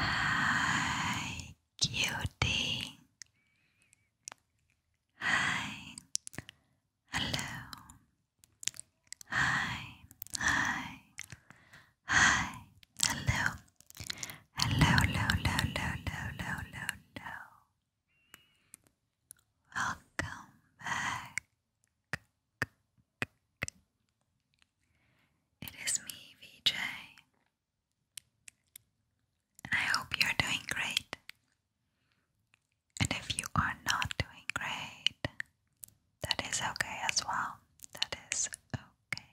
Hi, cutie. Hi, hello. Hi, hi, hi, hello. Hello, hello, hello, hello, hello, hello, hello. Welcome back. It is me, VJ, I hope you're doing great. And if you are not doing great, that is okay as well. That is okay.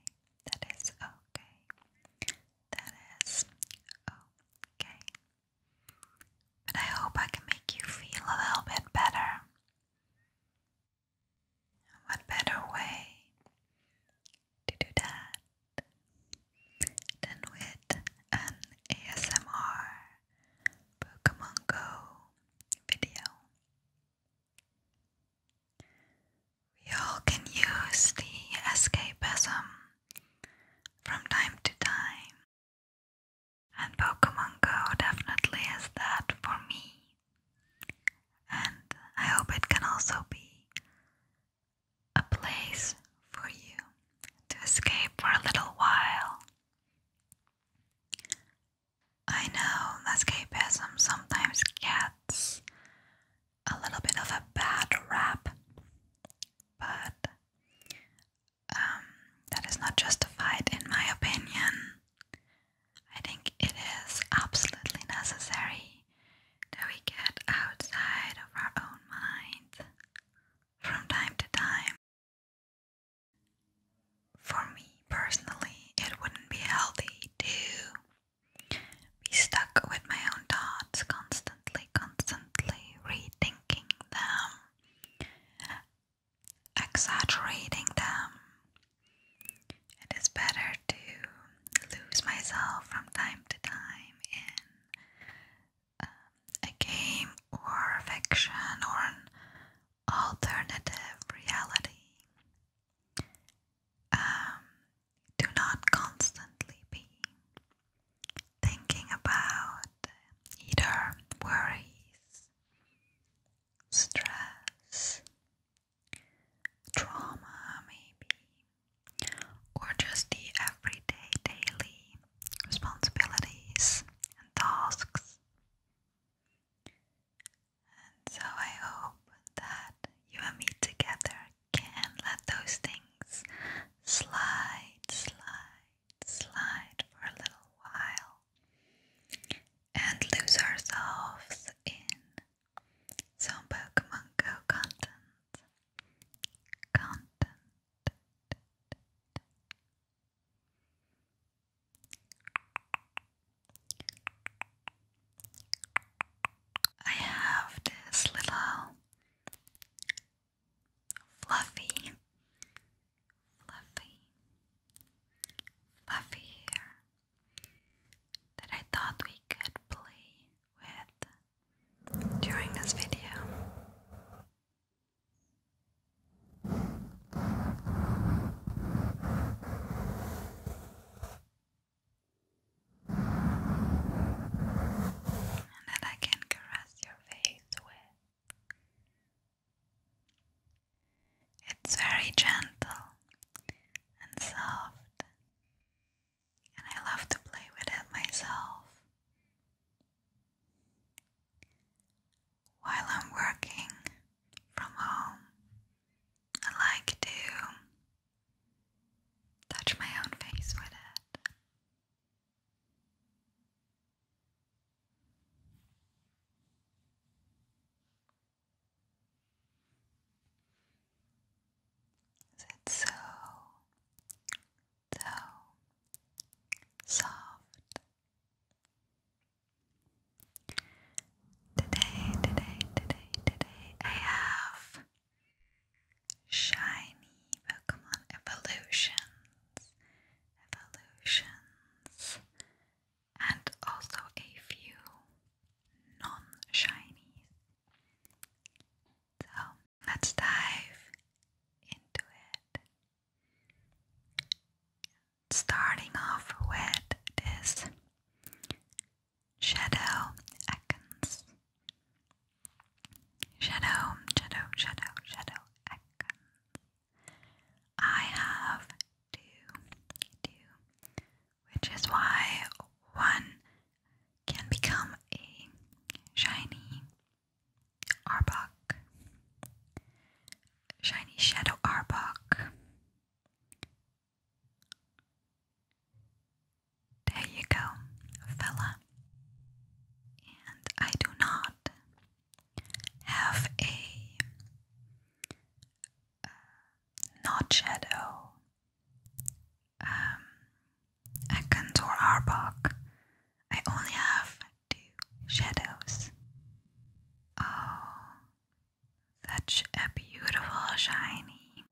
That is okay. That is okay. But I hope I can make you feel a little bit better. What better way to do that than with an ASMR Pokemon Go video? We all can use the escapism from time to time, and Pokemon Go definitely is that for me. And I hope it can also be a place for you to escape for a little while. I know escapism sometimes gets a little bit of a bad rap, but um, that is not justified, in my opinion. I think it is absolutely necessary that we get outside of our own mind from time to time. For me personally, it wouldn't be healthy to be stuck with my own thoughts constantly, constantly rethinking them exaggerating them. It is better to lose myself from time to time in um, a game or fiction or an alternative reality. Um, do not constantly be thinking about either worries, stress, trauma, maybe, or just the everyday, daily responsibilities and tasks. And so I hope that you and me together can let those things slide, slide, slide for a little while and lose ourselves in some Pokemon Go content. Content. I have this little fluffy, fluffy, fluffy here that I thought we could play with during this video. And that I can caress your face with it's very gentle and soft, and I love to play with it myself. While I'm working from home, I like to touch my own face with it. It's so, so soft. Today, today, today, today, I have shiny Pokemon evolutions, evolutions, and also a few non shiny So let's dive into it. Starting off with this shadow Ekans. Shadow, shadow, shadow, shadow Ekans. I have two, two, which is why one can become a shiny Arbok, shiny Shadow Arbok. There you go, fella. And I do not have a uh, not Shadow, um, Ekans or Arbok. I only have two shadows. Oh, such a beautiful shiny.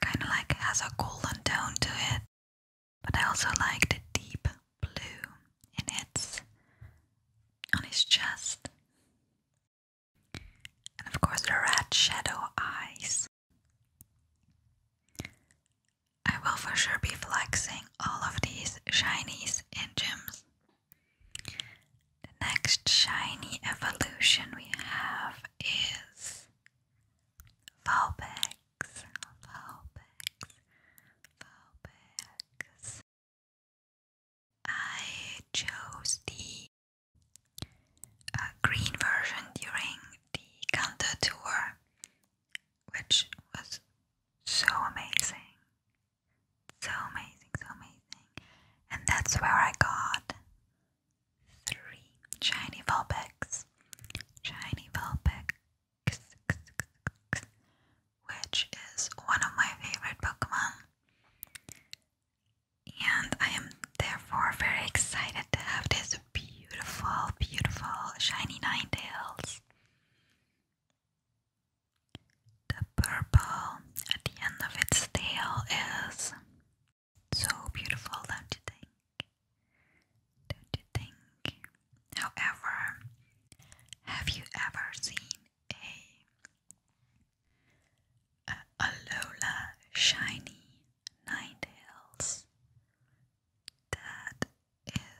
Kind of like has a golden tone to it. But I also like the deep blue in its on his chest. And of course the red shadow eyes. I will for sure be flexing all of these shinies in gyms. The next shiny evolution we have is Valbex, bags. I chose the uh, green version during the counter tour, which was so amazing. So amazing, so amazing. And that's where I got three shiny Vulpix. Shiny Vulpix which is one of my favorite Pokemon. And I am therefore very excited to have this beautiful, beautiful shiny Ninetales. The purple at the end of its tail is so beautiful, don't you think? Don't you think? However, have you ever seen a, Alola shiny ninetales? That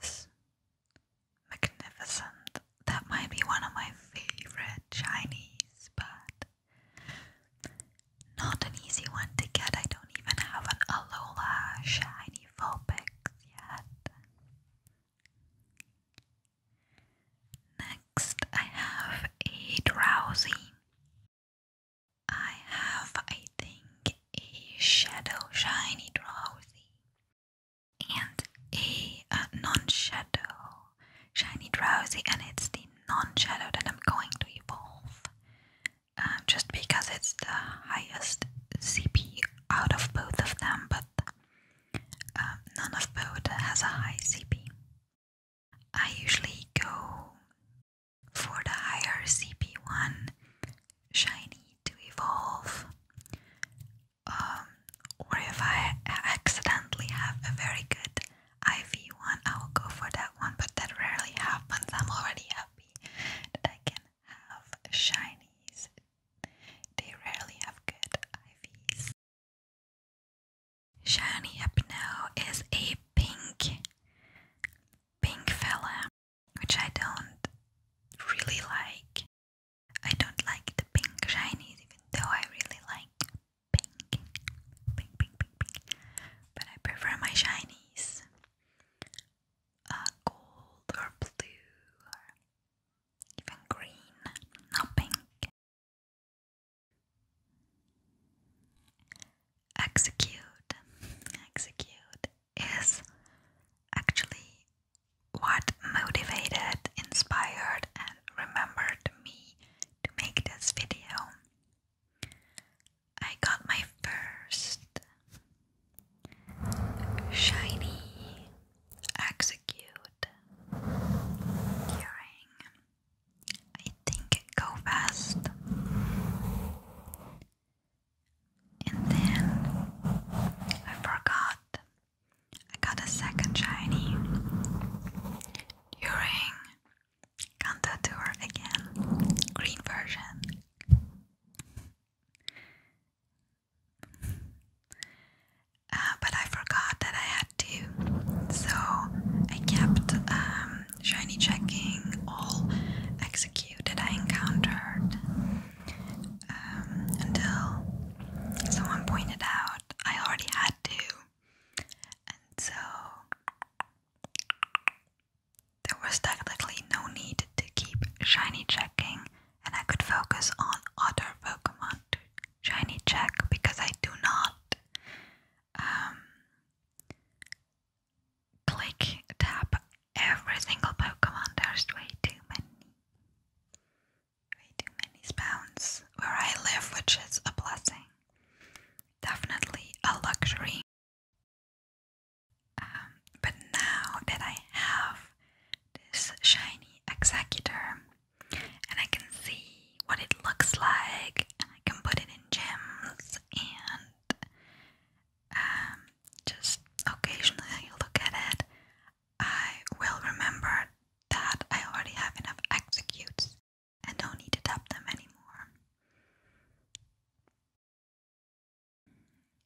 is magnificent. That might be one of my favorite shinies, but not an easy one to get. I don't even have an Alola shiny full yet. Next, I have a drowsy. I have, I think, a shadow shiny drowsy and a, uh, non shadow shiny drowsy, and it's the non shadow that I'm going to evolve uh, just because it's the highest CP out of both of them, but um, none of both has a high CP. I usually go for the higher CP one, shiny to evolve, um, or if I accidentally have a very good IV one, I will go for that one. But that rarely happens. I'm already happy that I can have shinies they rarely have good IVs. Shiny up now is a pink, pink fella, which I don't really like. I don't like the pink shinies, even though I really like pink, pink, pink, pink, But I prefer my shinies uh, gold or blue even green, not pink. Execute, execute is actually what motivated, inspired, and remembered me to make this video. I got my first Shiny, execute, curing. I think go fast, and then I forgot. I got a second shiny during Kanta tour again, green version. Uh, but I forgot that I had to, so I kept um, shiny checking all execute I encountered um, until someone pointed out I already had to, and so there was technically no need to keep shiny checking and I could focus on other Pokemon to shiny check because I do not um, click tap every single Pokemon. There's way too many, way too many spawns where I live, which is a blessing, definitely a luxury. Um, but now that I have this shiny executor and I can see what it looks like and I can put it in gems and um, just occasionally look at it I will remember that I already have enough executes and don't need to tap them anymore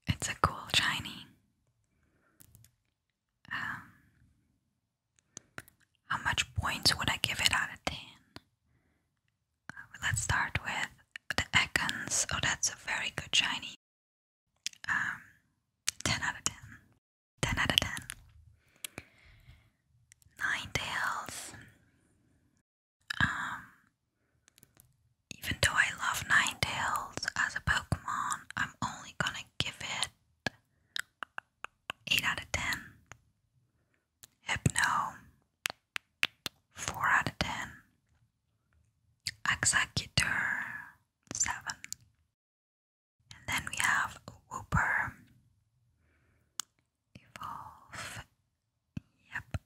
it's a cool shiny um, how much points would I give it out of 10? Uh, let's start with the Ekans. Oh, that's a very good shiny. Um, 10 out of 10. 10 out of 10. Nine tails. Um, even though I love Ninetales as a Pokemon, I'm only gonna give it 8 out of 10. Hypno, 4 out of 10. Executor, 7. And then we have Whooper, Evolve. Yep.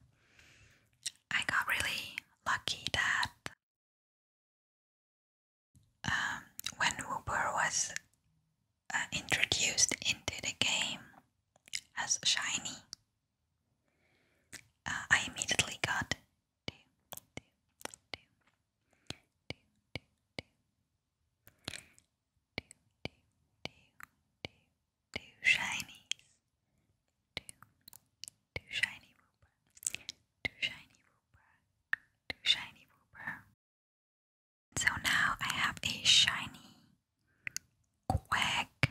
I got really lucky that when Wooper was introduced into the game as shiny, I immediately got do, do, do, shiny Wooper, too shiny wooper, too shiny wooper. So now I have a shiny quack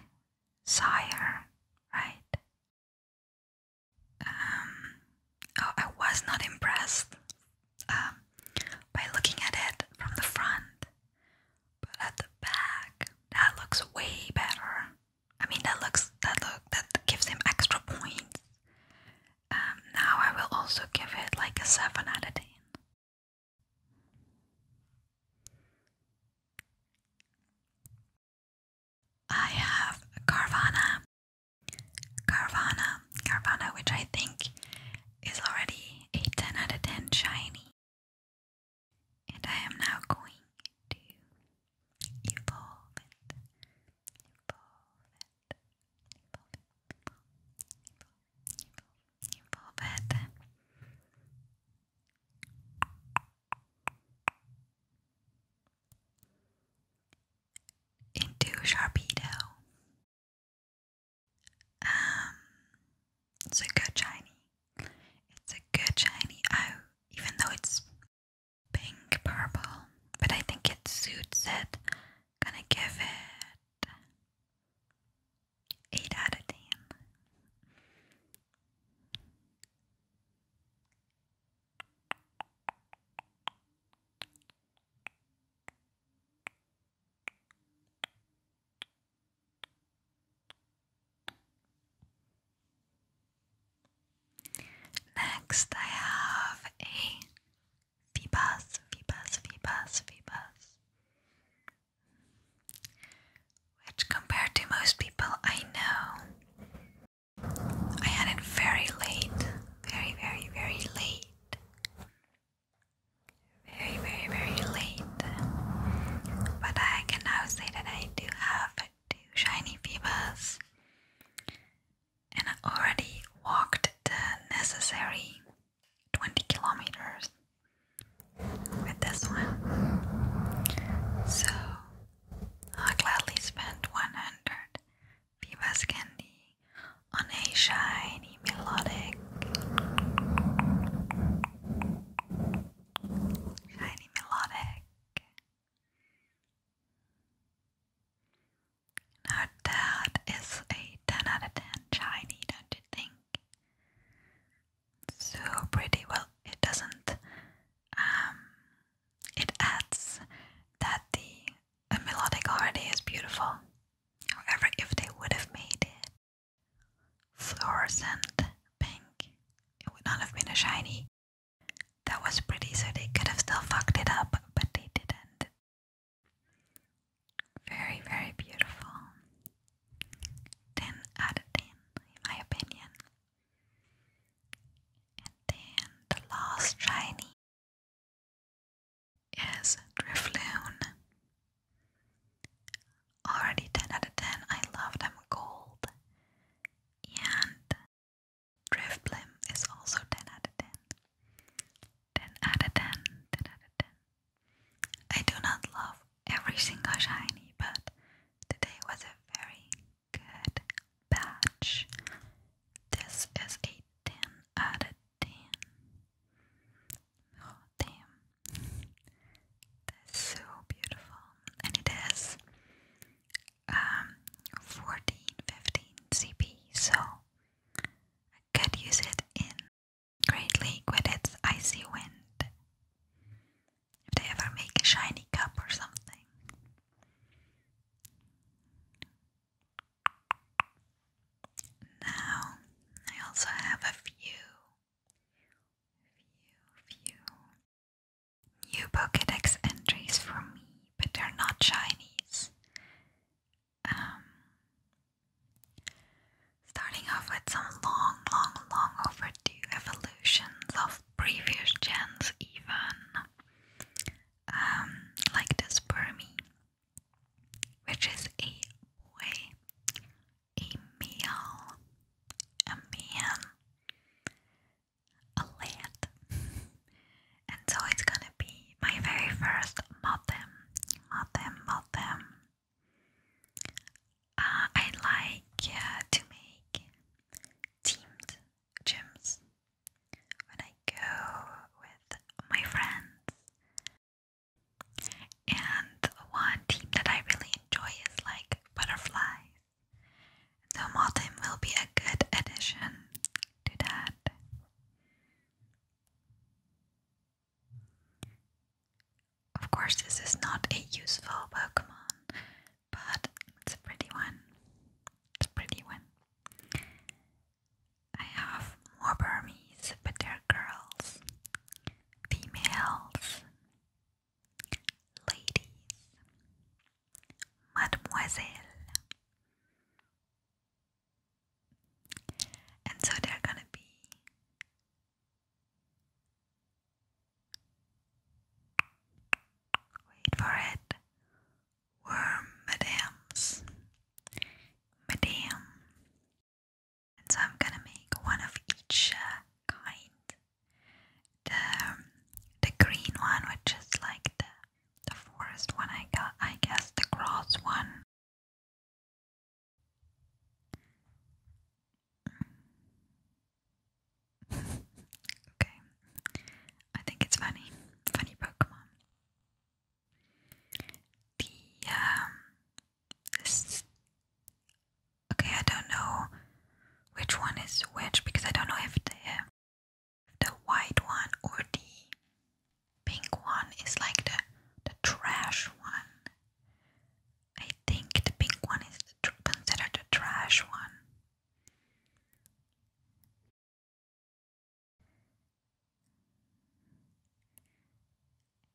sire, right? Um, oh, I was not impressed um, by looking at it from the front, but at the back, that looks way better. I mean that looks that look that gives him extra points. Um, now I will also give it like a seven out of ten. I have Carvana, Carvana, Carvana, which I think is already a ten out of ten shiny, and I am now going to you evolve it. evolve it. evolve it. evolve it. Into Sharpedo. Um, it's a good shiny. It's a good shiny. Oh, even though it's pink purple, but I think it suits it. Gonna give it 8 out of 10. Next, I have a Phoebus, Phoebus, Phoebus, Phoebus, which, compared to most people I know, I had it very late, very, very, very late. Very, very, very late. But I can now say that I do have two shiny Phoebus and I already walked the necessary 20 kilometers with this one. So I gladly spent 100 Vivas Candy on a shiny melodic, shiny melodic now that is a 10 out of 10 shiny, don't you think? So pretty. Well, it doesn't. Um, it adds that the a melodic already is beautiful. However, if they would have made it fluorescent pink, it would not have been a shiny. That was pretty, so they could have still fucked it up, but they didn't. Very, very beautiful. 10 out of 10, in my opinion. And then the last shiny is Drifloon. Already 10 out of 10. I love them gold. And Driftblim is also 10 out of 10. 10 out of 10, 10 out of 10. I do not love every single shiny, but today was a very good batch. This is a 10 out of 10. Oh, damn. That's so beautiful. And it is um, 14, CP, so I could use it in Great League with its Icy Wind. If they ever make a shiny cup or something. Now, I also have a few, few, few new Pokedex entries for me but they're not Chinese. Um, starting off with some long, long, long overdue evolutions of previous gens, even um, like this Burmy, which is a boy, a male, a man, a land. and so it's gonna be my very first modem. Modem, modem. Uh, I like uh, to make teamed gyms when I go with my friends. And one team that I really enjoy is like butterflies. So Modem will be a good addition do that. Of course, this is not a useful Pokemon, but it's a pretty one. It's a pretty one. I have more Burmese, but they're girls, females, ladies, mademoiselle, and so they're gonna be wait for it worm madams madam and so I'm gonna make one of each uh, kind the um, the green one which is like the the forest one I got, I guess the cross one. okay. I think it's funny. Funny Pokemon. The um Okay, I don't know which one is which because I don't know if they. uh, the white one or the pink one is like the, the trash one. I think the pink one is considered the trash one.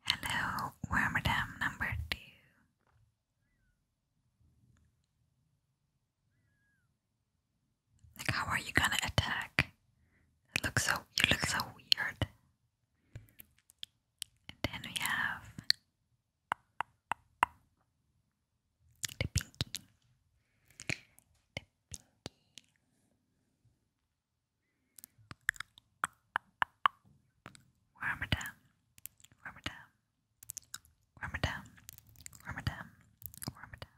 Hello, Wormadam number two. Like, how are you gonna attack? It looks so, you look so weird. And then we have the pinky. The pinky. Wormadam, wormadam, wormadam, wormadam, wormadam.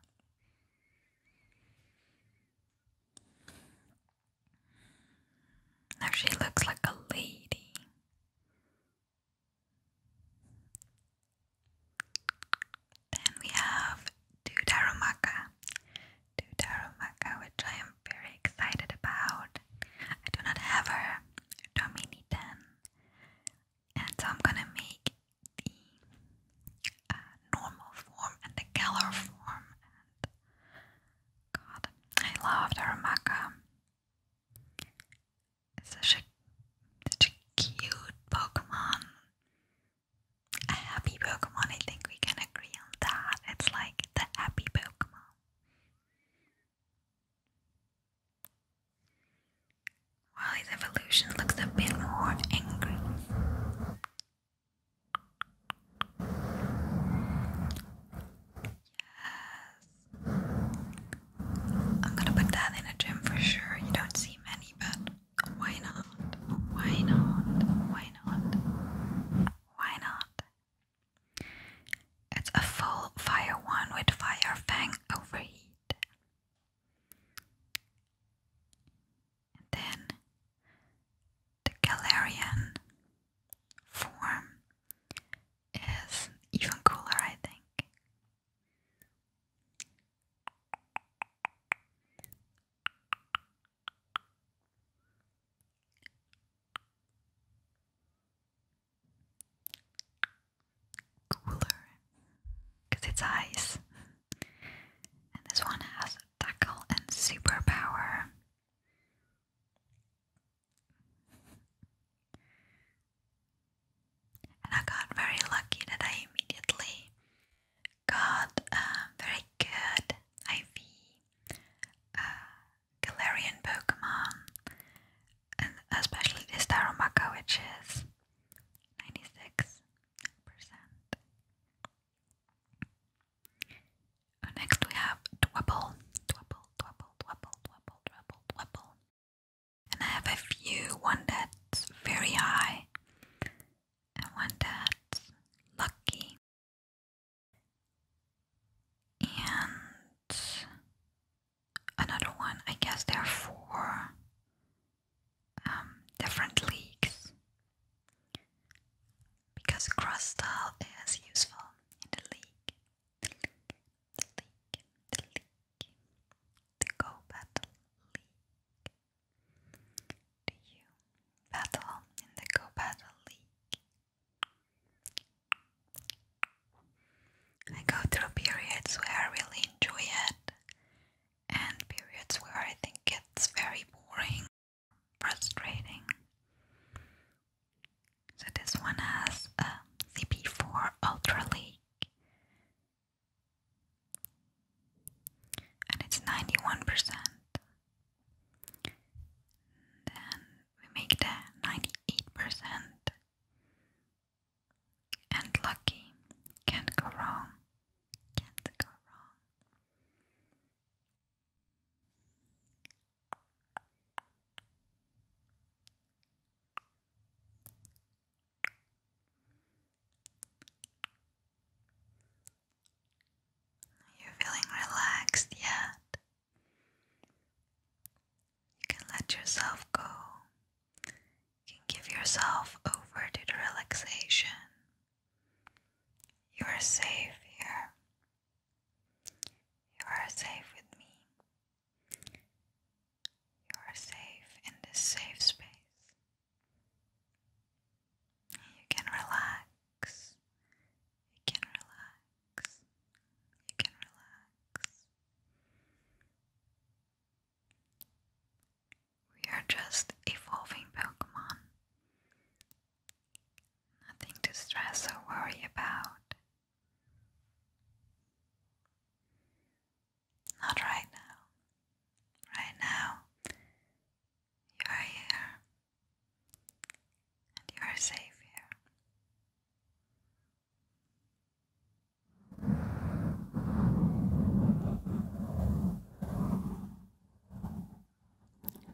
Now she looks like a lady. Then we have Dudarumaka. Dudarumaka, which I am very excited about. I do not have her Dominitan. And so I'm gonna make the uh, normal form and the color form. And God, I love the Ramaka. such a, such a cute Pokemon. A happy Pokemon, I think we can agree on that. It's like the happy Pokemon while his evolution looks a bit more angry. Yes. I'm gonna put that in a gym for sure. You don't see many, but why not? Why not? Why not? Why not? It's a full fire one with fire overheat then the Galarian form is even cooler, I think. Cooler because it's ice. And this one has tackle and superpower. And I got very lucky that I immediately got a very good IV uh, Galarian Pokemon, and especially this Taromaka, which is 96. Uh, next we have Dwebble, Dwebble, Dwebble, Dwebble, Dwebble, Dwebble, Dwebble. And I have a few, one that's very high and one that's lucky. And another one, I guess there are four um, different leagues because cross style is useful in the league, the league, the league, the league, the go battle league. battle in the go battle league? I go through periods where I really enjoy it, and periods where I think it's very boring, frustrating. So this one has a CP4 Ultra League, and it's 91%. Then we make the 98%. And lucky, can't go wrong. Can't go wrong. You're feeling relaxed yet. You can let yourself go. You can give yourself over to the relaxation. You are safe here. You are safe with me. You are safe in this safe space. You can relax. You can relax. You can relax. We are just evolving Pokemon. Nothing to stress or worry about. Not right now. Right now, you are here. And you are safe here.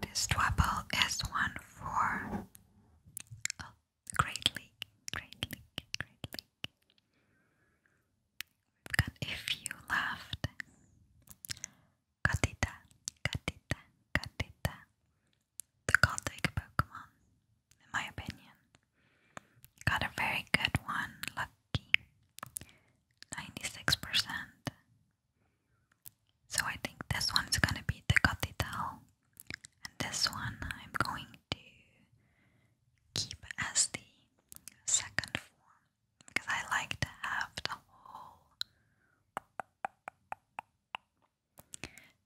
This double is one for oh, Great League, Great League, Great League. got a few left. Katita, Katita, Katita. The Goldic Pokemon, in my opinion. Got a very good one. 96%. So I think this one's gonna be the Cathedral, and this one I'm going to keep as the second form because I like to have the whole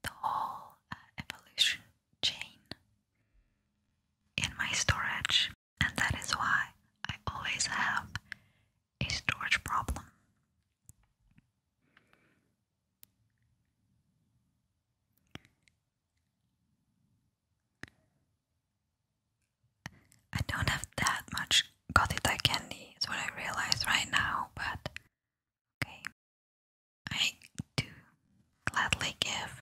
the whole uh, evolution chain in my storage and that is why I always have a storage problem. I don't have that much Gotita candy, is what I realize right now, but okay. I do gladly give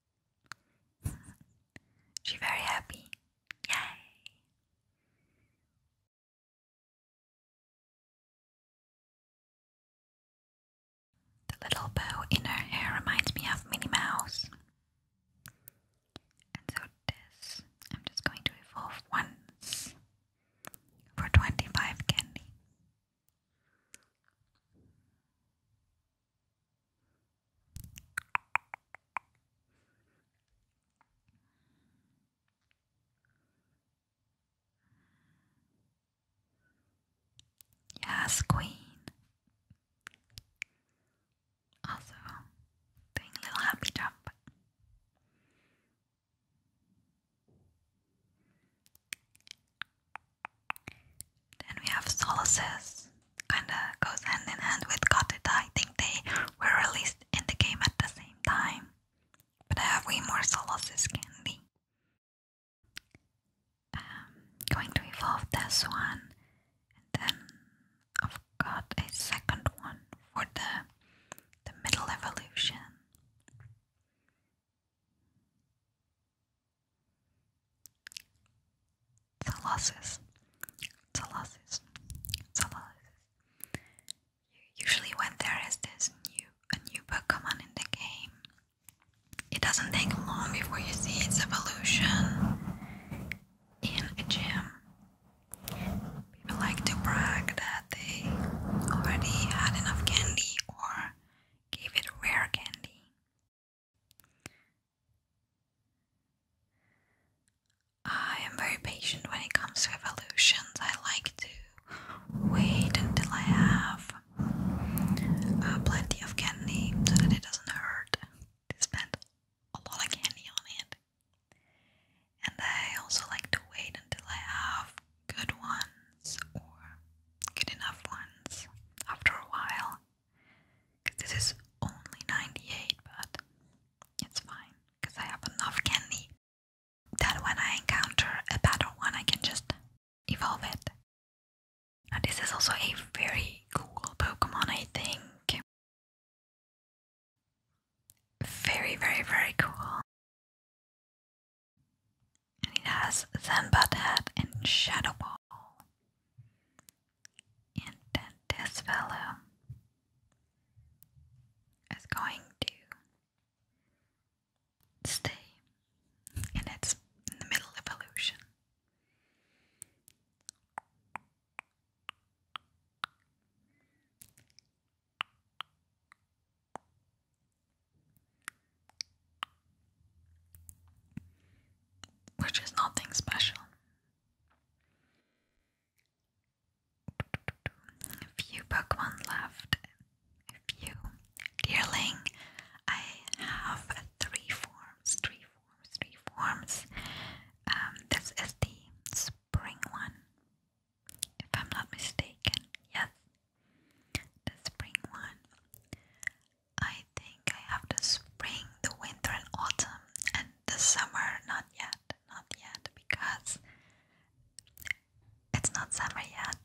She's very happy. Yay! The little bow in her hair reminds me of Minnie Mouse. And so this, I'm just going to evolve once for 25 candy. Yes, Queen. Also, doing a little happy jump. Then we have Solaces, kinda goes hand in hand with Katita. I think they were released in the game at the same time, but I have way more Solaces candy. Um, going to evolve this one, and then I've got a second one for the the middle evolution. Thalasses. Thalasses. Thalasses. Usually when there is this new a new Pokemon in the game, it doesn't take long before you see its evolution in a gym. People like to brag that they already had enough candy or gave it rare candy. I am very patient when it comes to evolutions. I like to wait until I have uh, plenty of candy so that it doesn't hurt to spend a lot of candy on it. And I also like to wait until I have good ones or good enough ones after a while. Cause this is only 98, but it's fine. Cause I have enough candy that when I encounter a better one, I can just evolve it. Now this is also a very cool Pokemon, I think. Very, very, very cool. And it has Zen Butt and Shadow Ball. And this fellow is going to stay and it's in the middle of which is nothing special. few Pokemon left. few. Dearling, I have three forms, three forms, three forms. Um, this is the spring one, if I'm not mistaken. Yes, the spring one. I think I have the spring, the winter, and autumn, and the summer. Not yet, not yet, because it's not summer yet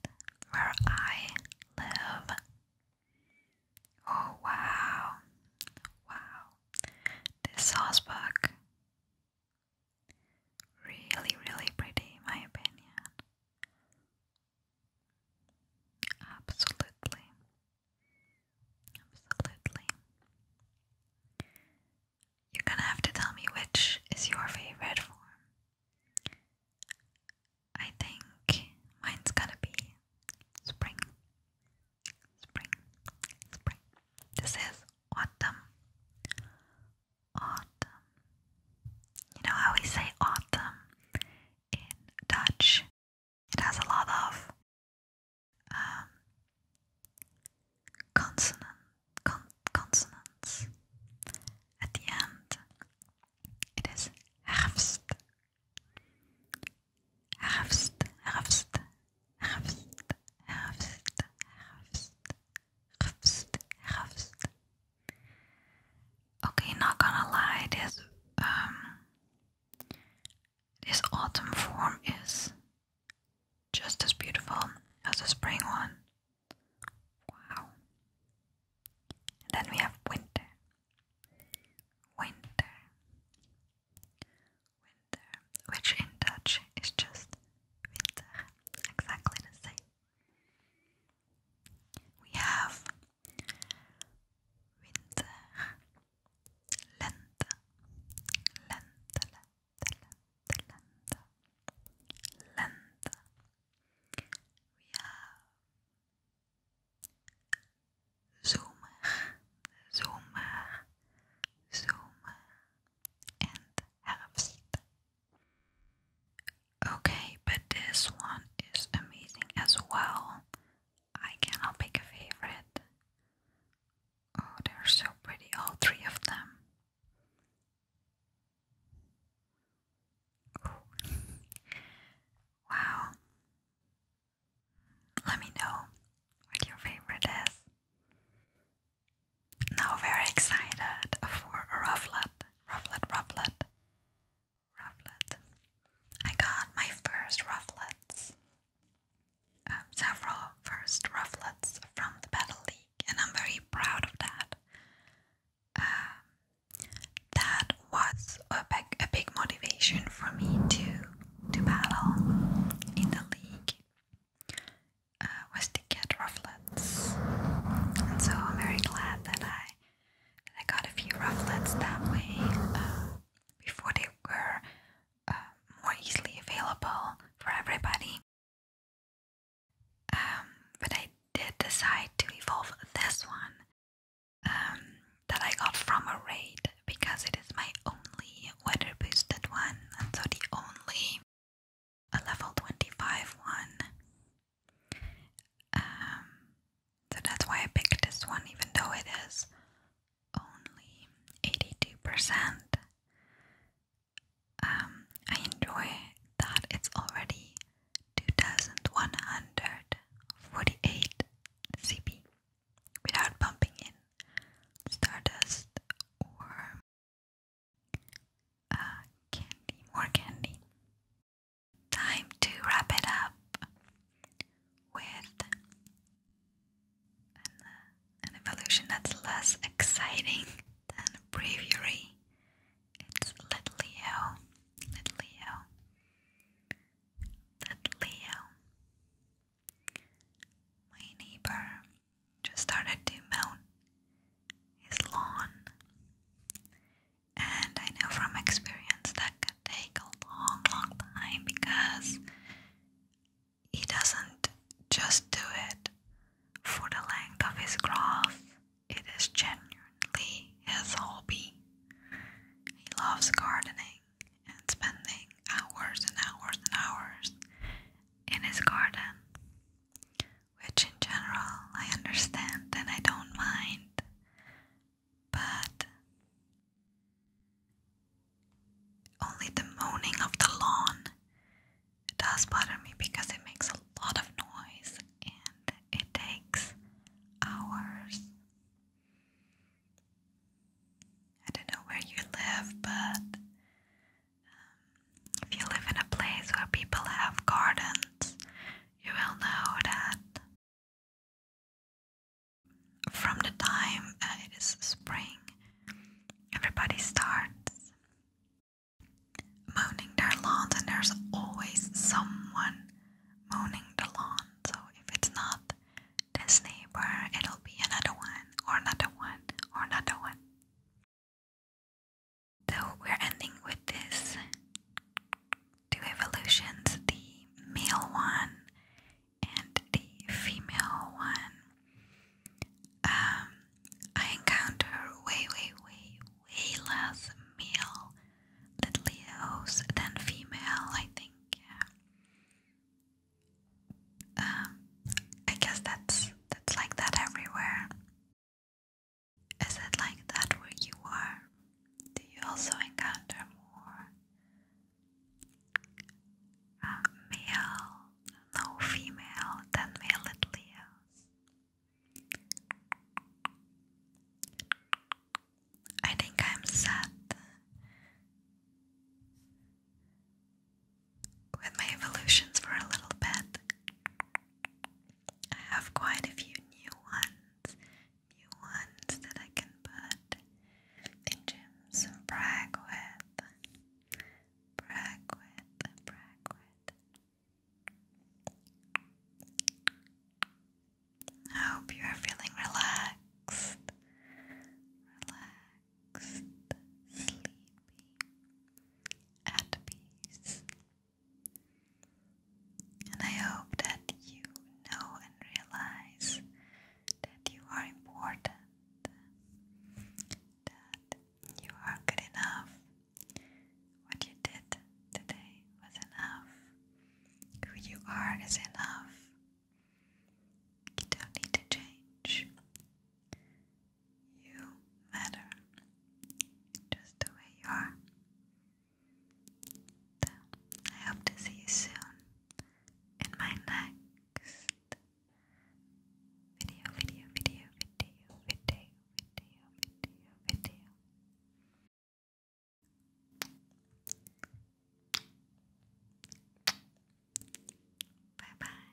where I live. Oh wow, wow! This housebook really, really pretty, in my opinion. Absolutely. Absolutely. You're gonna have to tell me which is your favorite form. I think mine's gonna be spring. Spring. Spring. This is autumn. Autumn. You know how we say autumn in Dutch? It has a lot of um, consonants at the end. It is herfst, herfst, herfst, herfst, herfst, herfst, herfst, herfst. Okay, not gonna lie, this this autumn form is just as beautiful as the spring one. Wow. then we have winter. Winter. Winter, which in Dutch is just winter, exactly the same. We have winter, lenta, lenta, lenta, lenta, lenta, lenta. We have zoomer, zoomer, zoomer, and herfst. Okay, but this one is amazing as well. I cannot pick a favorite. Oh, they're so pretty, all three of them. wow. Let me know what your favorite is. Now, very excited for rufflet, rufflet, rufflet rufflet. I got my first rufflets, um, several first rufflets from the Battle League, and I'm very proud of that. Um, that was a big, a big motivation for me to to battle in the league. Uh, was to get rufflets, and so I'm very glad that I that I got a few rufflets that way. Um, before they were uh, more easily available for everybody. Um, but I did decide to evolve this one um, that I got from a raid because it is my only weather boosted one, and so the only a level 25 one. Um, so that's why I picked this one, even though it is only 82%. Um, I enjoy that it's already 2148 CP without bumping in Stardust or uh, candy, more candy. Time to wrap it up with uh, an, evolution that's less exciting than Breviary. It's Let Leo. Let My neighbor just started to mow his lawn. And I know from experience that take a long, long time because he doesn't just do it for the length of his craft. It is genuinely his hobby. He loves gardening and spending hours and hours and hours in his garden, which in general I understand and I don't mind but only the moaning of the lawn does bother me because it makes a lot of noise and it takes hours. I don't know where you live, but um, if you live in a place where people have gardens, you will know that from the time uh, it is spring, everybody starts moaning their lawns, and there's always someone mowing the lawn. So if it's not this neighbor, it'll be another one, or another one, or another one. So we're ending with this two evolutions. The male one and the female one um, I encounter way, way, way, way less male little than female, I think. Um, I guess that's that's like that everywhere. Is it like that where you are? Do you also encounter more male, no female, then male at I think I'm sad with my evolutions for a little bit. I have quite a few new ones new ones that I can put in gyms and brag with. Brag with, brag with. I hope you are feeling relaxed, relaxed, sleepy, at peace. And I hope that you know and realize that you are important, that you are good enough. What you did today was enough. Who you are is enough. You don't need to change. You matter just the way you are. I hope to see you soon in my next video, video, video, video, video, video, video, video. Bye bye.